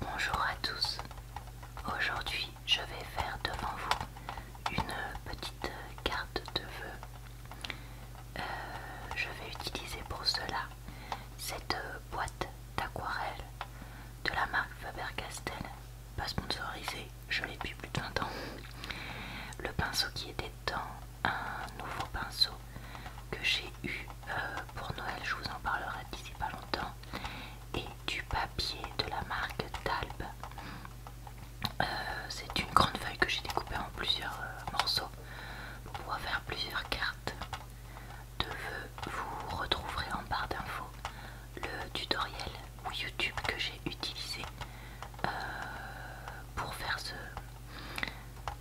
Bonjour à tous. Aujourd'hui, je vais faire devant vous une petite carte de vœux. Euh, je vais utiliser pour cela cette boîte d'aquarelle de la marque Faber-Castell, pas sponsorisée, je l'ai depuis plus de 20 ans. Le pinceau qui était dans un nouveau pinceau que j'ai eu euh, pour Noël, je vous en parlerai d'ici pas longtemps, et du papier de la marque Talb. Euh, c'est une grande feuille que j'ai découpée en plusieurs euh, morceaux pour faire plusieurs cartes de vœux. Vous retrouverez en barre d'infos le tutoriel ou YouTube que j'ai utilisé pour faire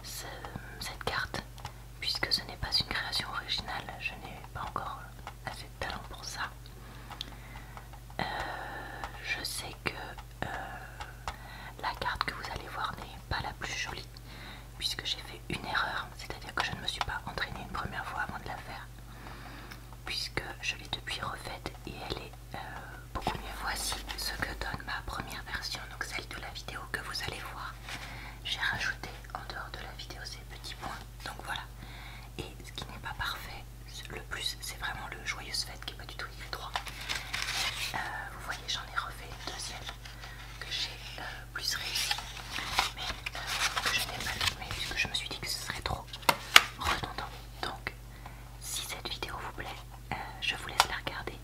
cette carte puisque ce n'est pas une création originale, je n'ai pas encore assez de talent pour ça. Euh, je sais que euh, la carte que vous allez voir n'est pas la plus jolie, puisque j'ai fait une erreur, c'est-à-dire que je ne me suis pas entraînée une première fois avant de la faire, puisque je l'ai depuis refaite et elle est euh, beaucoup mieux. Voici ce que donne ma première version, donc celle de la vidéo que vous allez voir j'ai rajouté en dehors de la vidéo ces petits points. Donc voilà. Et ce qui n'est pas parfait, le plus, c'est vraiment le joyeuse fête qui n'est pas du tout écrit euh, vous voyez, j'en ai refait une deuxième que j'ai euh, plus réussi, mais euh, que je n'ai pas filmé puisque je me suis dit que ce serait trop redondant. Donc, si cette vidéo vous plaît, je vous laisse la regarder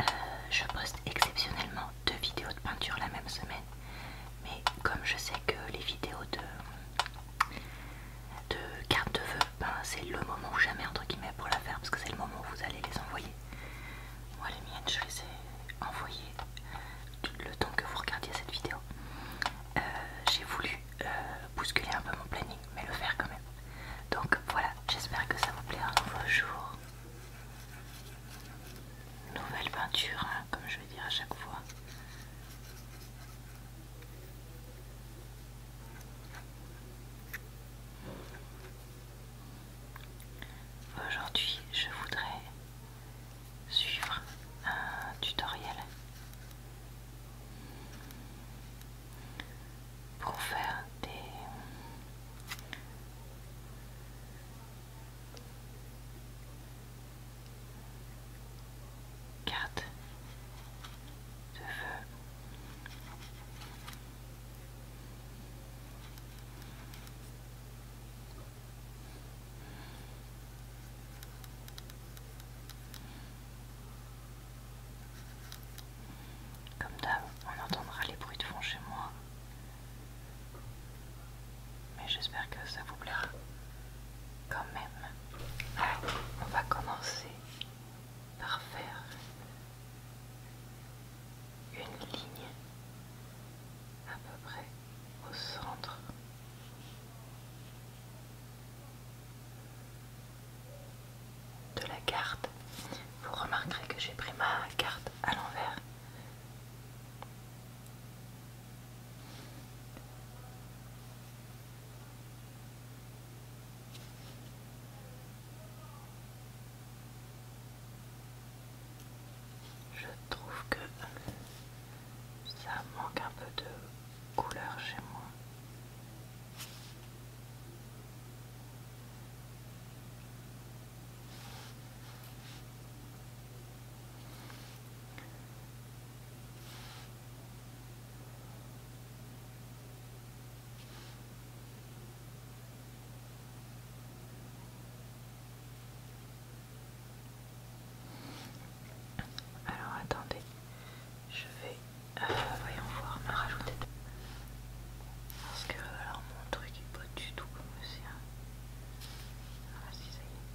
euh, je poste exceptionnellement deux vidéos de peinture la même semaine. Mais comme je sais que les vidéos de, de cartes de vœux, ben, c'est le moment ou jamais entre guillemets pour la faire parce que c'est le moment où vous allez les envoyer. Moi les miennes je les ai envoyées le temps que vous regardiez cette vidéo. Euh, j'ai voulu euh, bousculer un peu mon planning mais le faire quand même. Donc voilà, j'espère que ça vous plaira un vos jours nouvelle peinture, hein, comme je vais dire à chaque fois. Aujourd'hui, je voudrais suivre un tutoriel pour faire des Carte Comme d'hab, on entendra les bruits de fond chez moi mais j'espère que ça vous plaira quand même. on va commencer par faire une ligne à peu près au centre. De la carte, vous remarquerez que j'ai pris ma carte à l'envers je trouve que ça manque un peu de couleur chez moi. Alors attendez, je vais, euh, voyons voir, me rajouter. Parce que alors mon truc est pas du tout comme le sien. Ah, si ça y est.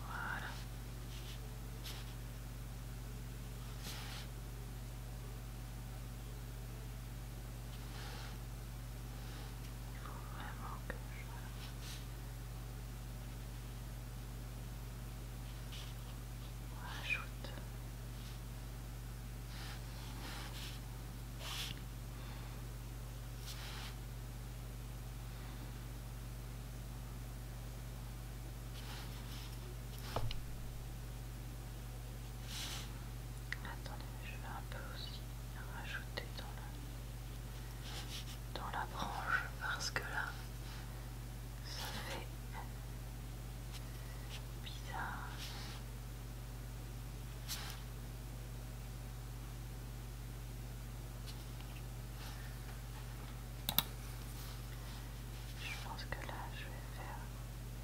Voilà. Il faut vraiment que je rajoute. Attendez, je vais un peu aussi rajouter dans la, dans la branche parce que là, ça fait bizarre. Je pense que là, je vais faire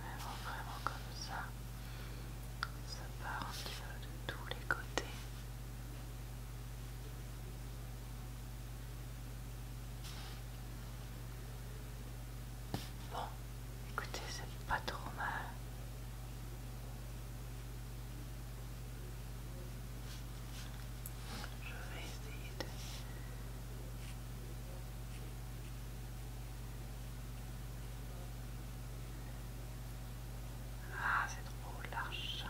Vraiment, vraiment comme ça. Ça part un petit peu de tous les côtés. Bon, écoutez, c'est pas trop mal. Je vais essayer de ah, c'est trop large.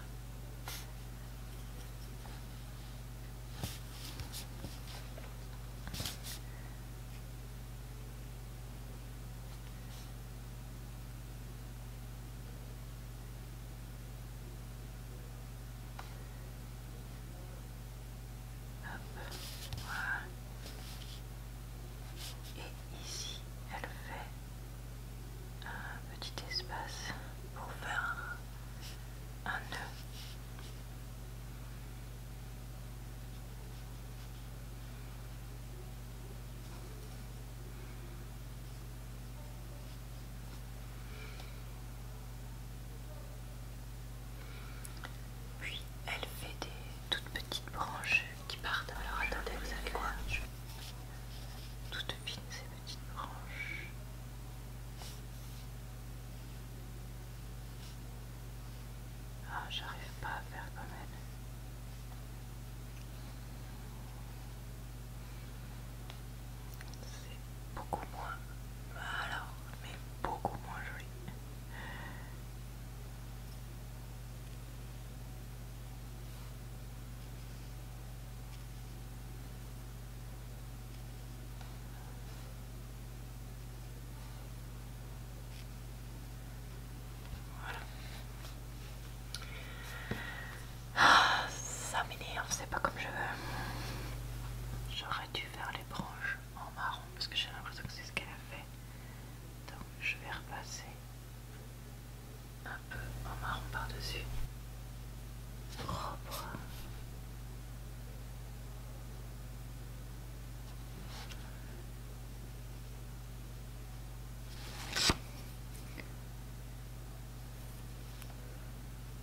Et ici, elle fait un petit espace pour faire un, un nœud. Puis elle fait des toutes petites branches qui partent. Alors attendez, vous savez quoi Toutes fines ces petites branches. Ah, j'arrive pas à faire comme elle. C'est beaucoup moins. Alors, mais beaucoup moins joli. Voilà. ça ah, m'énerve, c'est pas comme je veux. Tu fais les branches en marron parce que j'ai l'impression que c'est ce qu'elle a fait. Donc je vais repasser un peu en marron par-dessus. Propre.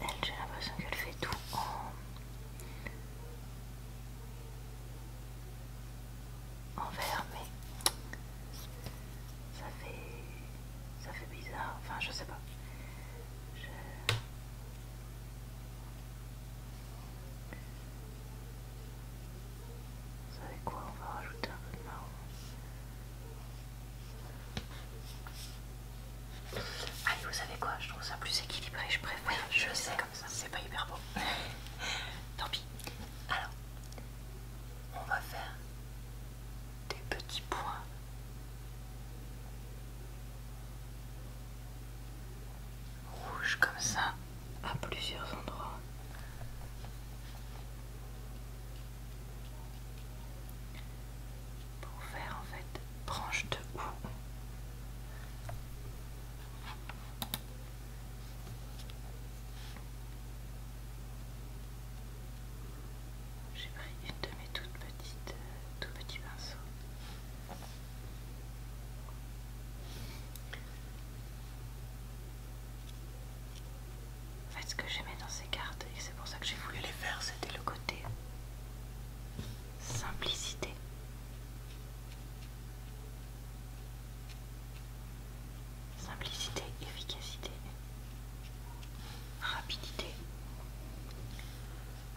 Elle, j'ai l'impression qu'elle fait tout en... en verre, mais ça fait... ça fait bizarre, enfin je sais pas. Vous savez quoi On va rajouter un peu de marron. Allez, vous savez quoi Je trouve ça plus équilibré. Je préfère. Oui, je, sais, comme ça. C'est pas hyper beau. Tant pis. Alors, on va faire des petits points. Rouge comme ça à plusieurs endroits. Pour faire en fait branche de hou. J'ai pris une de mes toutes petites, euh, tout petits pinceaux en fait, ce que j'aimais dans ces cartes, et c'est pour ça que j'ai voulu les faire, c'était le côté simplicité. Simplicité, efficacité, rapidité.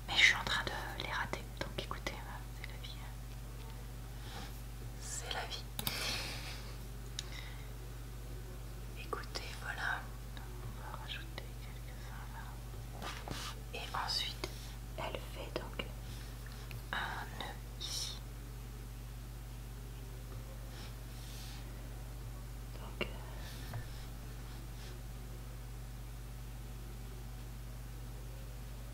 Mais je suis en train de les rater, donc écoutez, euh, c'est la vie. Hein. C'est la vie. Écoutez, voilà, on va rajouter quelques-uns là. Et ensuite, elle fait donc un nœud ici. Donc, euh,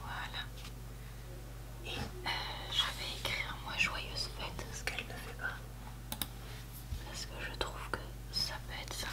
Voilà. Et euh, je vais écrire moi joyeuse fête, ce qu'elle ne fait pas. Parce que je trouve que ça peut être sympa.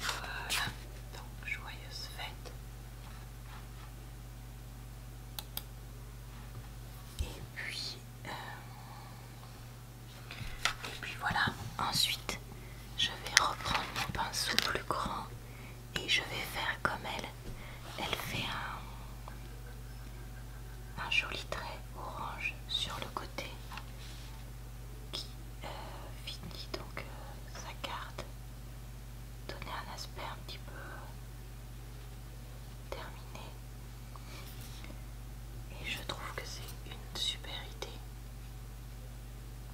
Voilà, donc joyeuse fête. Et puis, euh, et puis voilà, ensuite je vais reprendre mon pinceau plus grand et je vais faire comme elle elle fait un, joli trait orange sur le côté qui euh, finit donc euh, sa carte, donner un aspect un petit peu terminé. Et je trouve que c'est une super idée.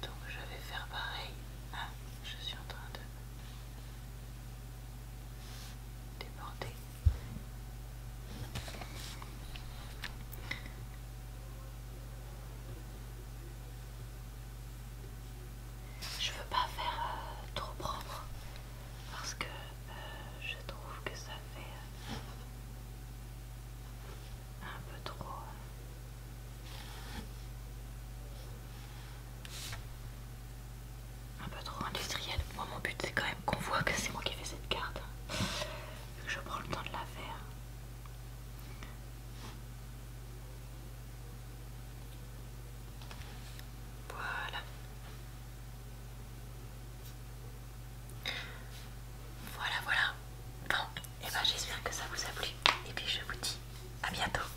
Donc je vais faire pareil. Ah, je suis en train de débordé. Je veux pas faire euh, trop propre parce que euh, je trouve que ça fait euh, un peu trop un peu trop industriel. Moi, mon but, c'est quand même qu'on voit que c'est moi qui ai fait cette carte. Je prends le temps de la faire. Voilà. Voilà, voilà. Bon, et eh ben j'espère que ça vous a plu. Et puis je vous dis à bientôt.